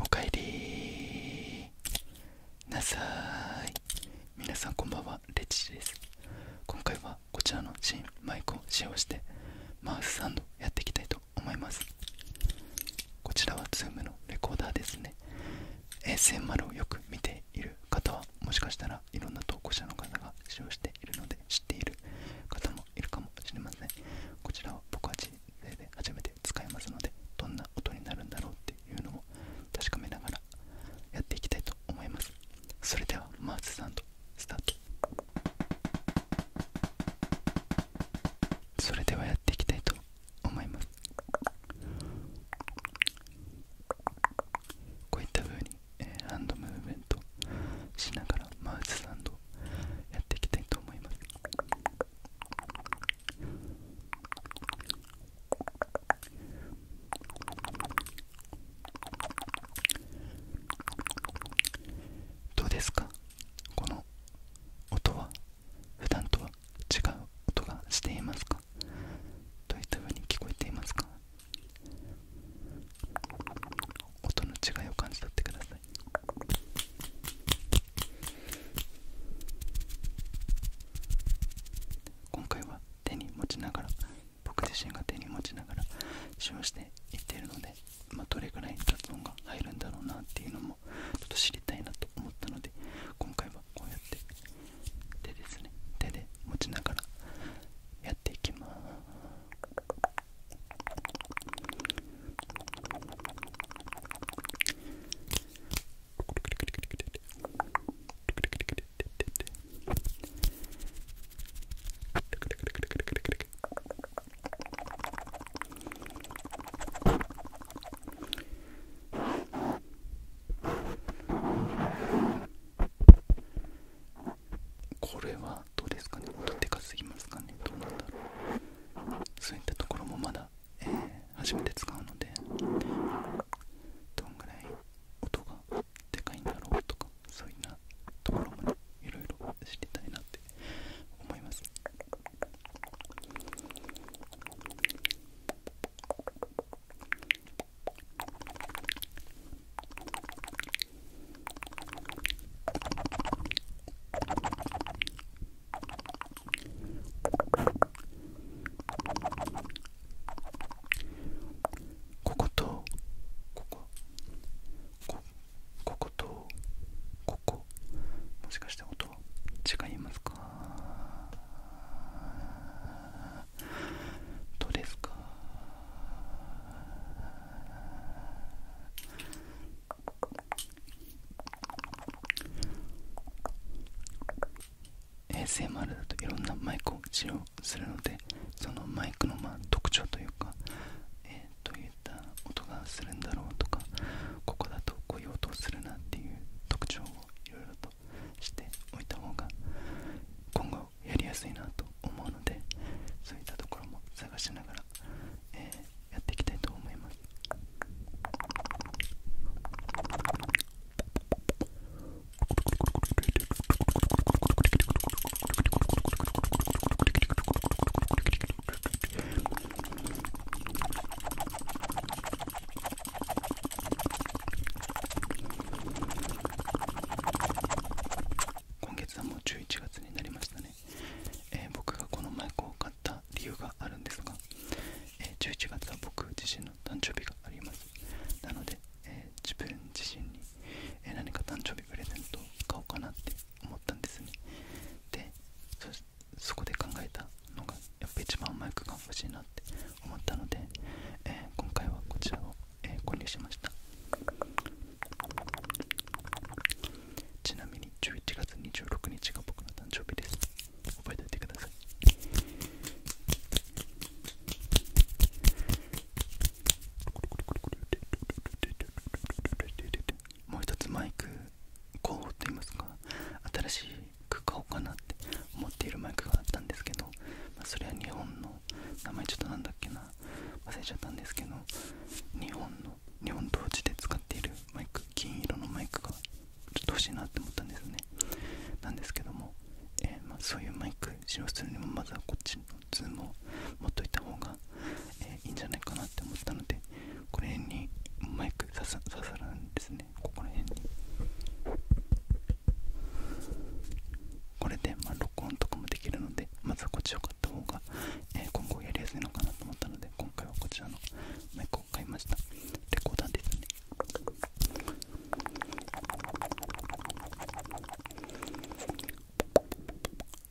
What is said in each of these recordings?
おかえりなさい皆さんこんばんはレッチです今回はこちらの新マイクを使用してマウスサンドやっていきたいと思います。思いますこちらは Zoom のレコーダーですね ASMR をよく見ている方はもしかしたらいろんな投稿者の方が使用しているので知っている方もいるかもしれませんこちらは僕は人生で初めて使えますのでどんな音になるんだろうっていうのも確かめながらやっていきたいと思いますそれではマーズさんとスタートそれではやっていきたいと思いますこういったふうに、えー、ハンドムーブメントしながらマウスサンドやっていきたいと思いますどうですかこの音は普段とは違う音がしていますかどういったふうに聞こえていますか音の違いを感じ取ってください今回は手に持ちながら僕自身が手に持ちながら使用していっているので、どれくらい雑音が入るんだろうなっていうのもちょっと知りたいなと思ったので今回はこうやって手ですね手で持ちながらやっていきますここれはどうですかね音でかすぎますかねどうなんだろうそういったところもまだ、え初めて使うのでどんぐらい音がでかいんだろうとかそういったところもねいろいろ知りたいなって思いますこことここここもしかして音違いますかどれですか衛星もあだといろんなマイクを使用するのでそのマイクの特徴というか、えー、という音がするんだろうとかここだとこういう音をするなっていう特徴をいろいろとしておいた方が今後やりやすいなと思うのでそういったところも探しながら、えやっていきたいと思います。今月はもう11月になりましたね、僕がこのマイクを買った理由があるんですが、えー、11月は僕自身の誕生日がありますなので、自分自身に何か誕生日プレゼントを買おうかなって思ったんですねでそこで考えたのがやっぱ一番マイクが欲しいなって思ったので、今回はこちらを、購入しましたちなみに11月26日が僕の誕生日です覚えておいてくださいもう一つマイク候補といいますか新しく買おうかなって思っているマイクがあったんですけど、まあ、それは日本の名前ちょっと何だっけな忘れちゃったんですけど日本の日本同時で使っているマイク金色のマイクがちょっと欲しいなって思ったんですねなんですけども、えまそういうマイク使用するにもまずはこっちのツーも持っといた方が、えいいんじゃないかなって思ったのでこれにマイク刺さるんですねここら辺にこれでま録音とかもできるのでまずはこっちを買った方が、え今後やりやすいのかなと思ったので今回はこちらのマイクを買いましたレコーダーですね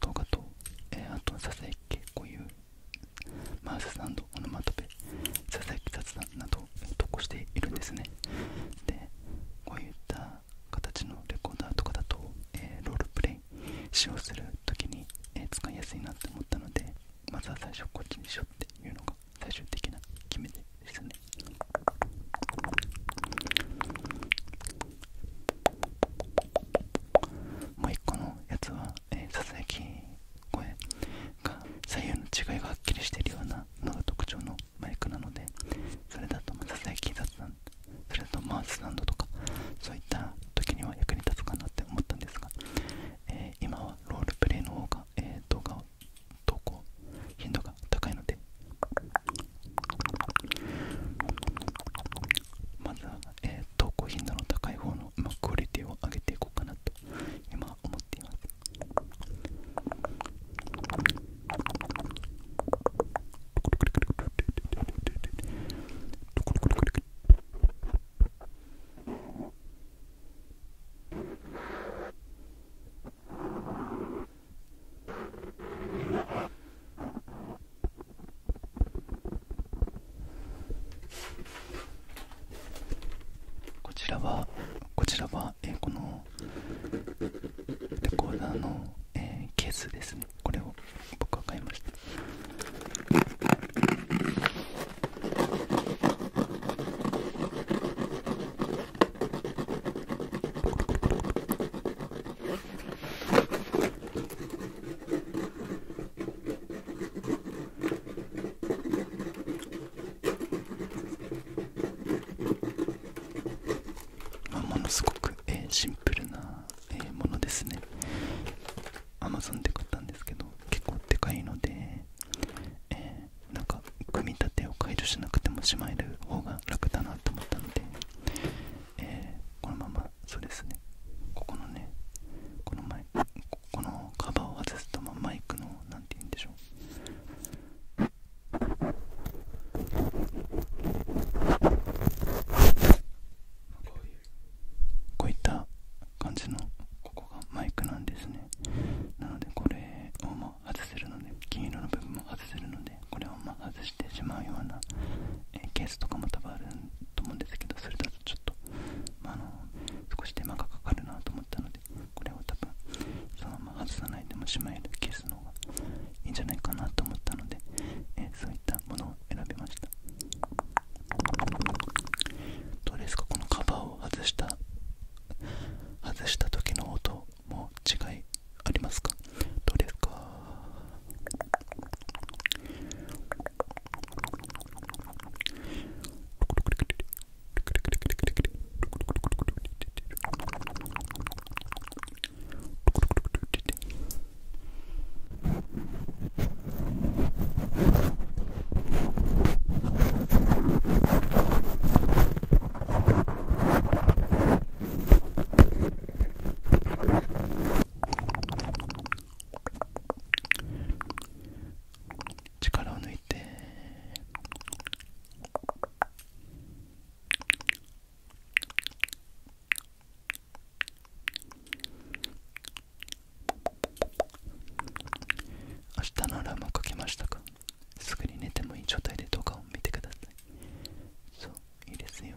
動画と、えー、あと、ささやきこういうマウスサンド、オノマトペ、佐々木、き雑談などを投稿しているんですね。で、こういった形のレコーダーとかだと、えロールプレイ使用する時に、え使いやすいなって思ったので、まずは最初こっちにしようっていうのが最終的な決め手ですね。もう1個のやつは、えー、ささやき声が左右の違いがはっきりしているようなのが特徴のマイクなのでそれだとささやきん、談それだとマウスなタンとかそういった時には役に立つかなって思ったんですが、え今はロールプレイの方が、えー、動画を投稿頻度が高いのでまずは、えー、と高頻度の高い方の、まあ、クオリティを上げていこうかなと今思っていますこちらはこちらは、えこのレコーダーの、えケースですねこれを僕は買いましたまものすごく、えシンプルな、えものですね Amazon で買ったんですけど結構でかいので、えなんか組み立てを解除しなくてもしまえる方が楽だなと思ったのでこのままそうですねここのねこのマこのカバーを外すとマイクの何て言うんでしょうこういった感じのここがマイクなんですねなのでこれを外せるので金色の部分も外せるのでこれをま外してしまうような、ケースとかも多分あると思うんですけどそれだとちょっと、まあ、少し手間がかかるなと思ったのでこれを多分そのまま外さないでもしまえるケースの方がいいんじゃないかなと思ったので、そういったものを選びましたどうですかこのカバーを外した外した時の音も違いありますかどうか力を抜いて明日のアラームをかけましたかすぐに寝てもいい状態で動画を見てくださいそういいですよ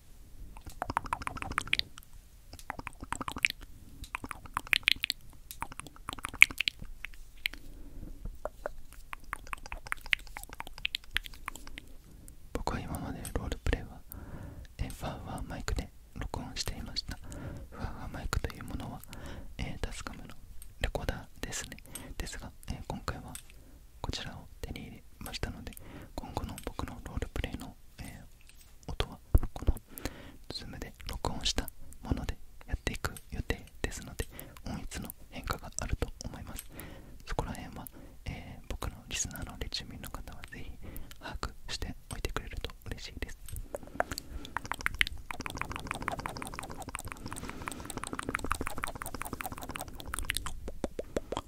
僕は今までロールプレイはファーファーマイクで録音していましたファーファーマイクというものはえタスカムのレコーダーですねですが、今回はこちらを手に入れましたので今後の僕のロールプレイの、え音はこの Zoom で録音したものでやっていく予定ですので音質の変化があると思いますそこら辺は、え僕のリスナーのレチュミの方はぜひ把握しておいてくれると嬉しいです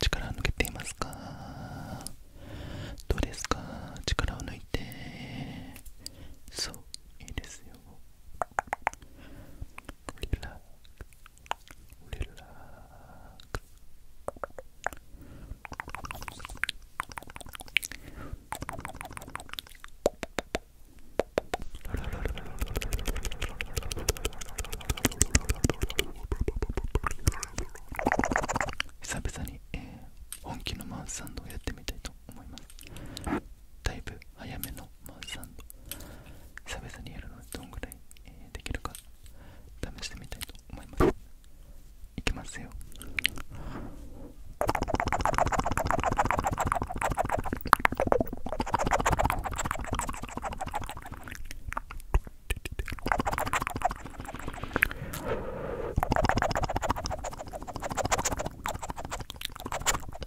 力を抜けていますかどうですか力を抜いてそういいですよ relax, relax. 久々に、えー、本気のマウスサンドをやってみたいと思いますだいぶ早めのまあ、3度久にやるのはどんぐらい、できるか試してみたいと思いますいきますよ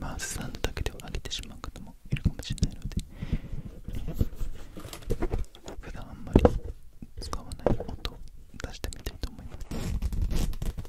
まあ、スタンドだけでは上げてしまう方もいるかもしれないので、普段あんまり使わない音を出してみたいと思います。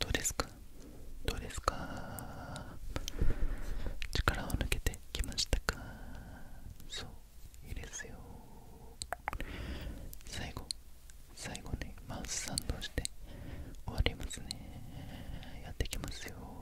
どうですかどうですか力を抜けてきましたかそういいですよ最後最後にマウスサンドして終わりますねやってきますよ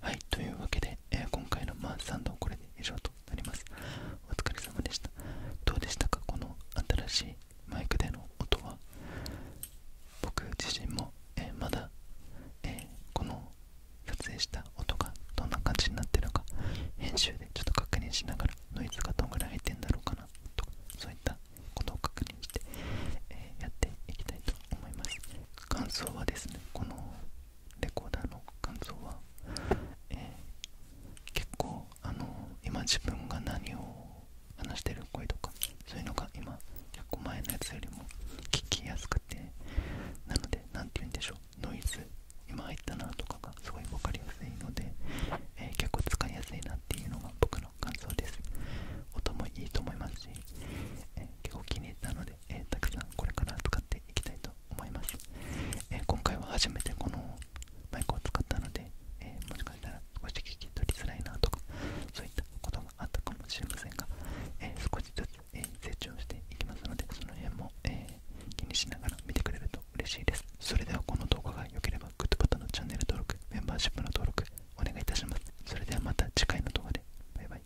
はいというわけで、今回のマンサンドはこれで以上となりますお疲れ様でしたどうでしたかこの新しいマイクでの音は僕自身も、えまだ、えこの撮影した音がどんな感じになってるか編集でちょっと確認しながらノイズがどんぐらい入ってんだろうかなとかそういったことを確認して、えやっていきたいと思います感想はですねこのレコーダーの感想は、え結構あの今自分が何を話してる声とかそういうのが今100個前のやつよりも聞きやすくてなので何て言うんでしょうノイズ今入ったなとかがすごい分かりやすいので、え結構使いやすいなっていうのが僕の感想です音もいいと思いますし、え結構気に入ったので。えたくさんこれから使っていきたいと思います、え今回は初めてこのマイクを使ったので、えもしかしたら少し聞き取りづらいなとかそういったことがあったかもしれませんが、え少しずつ、え成長していきますのでその辺も、え気にしながら見てくれると嬉しいですそれではこの動画が良ければグッドボタンのチャンネル登録メンバーシップの登録お願いいたしますそれではまた次回の動画でバイバイ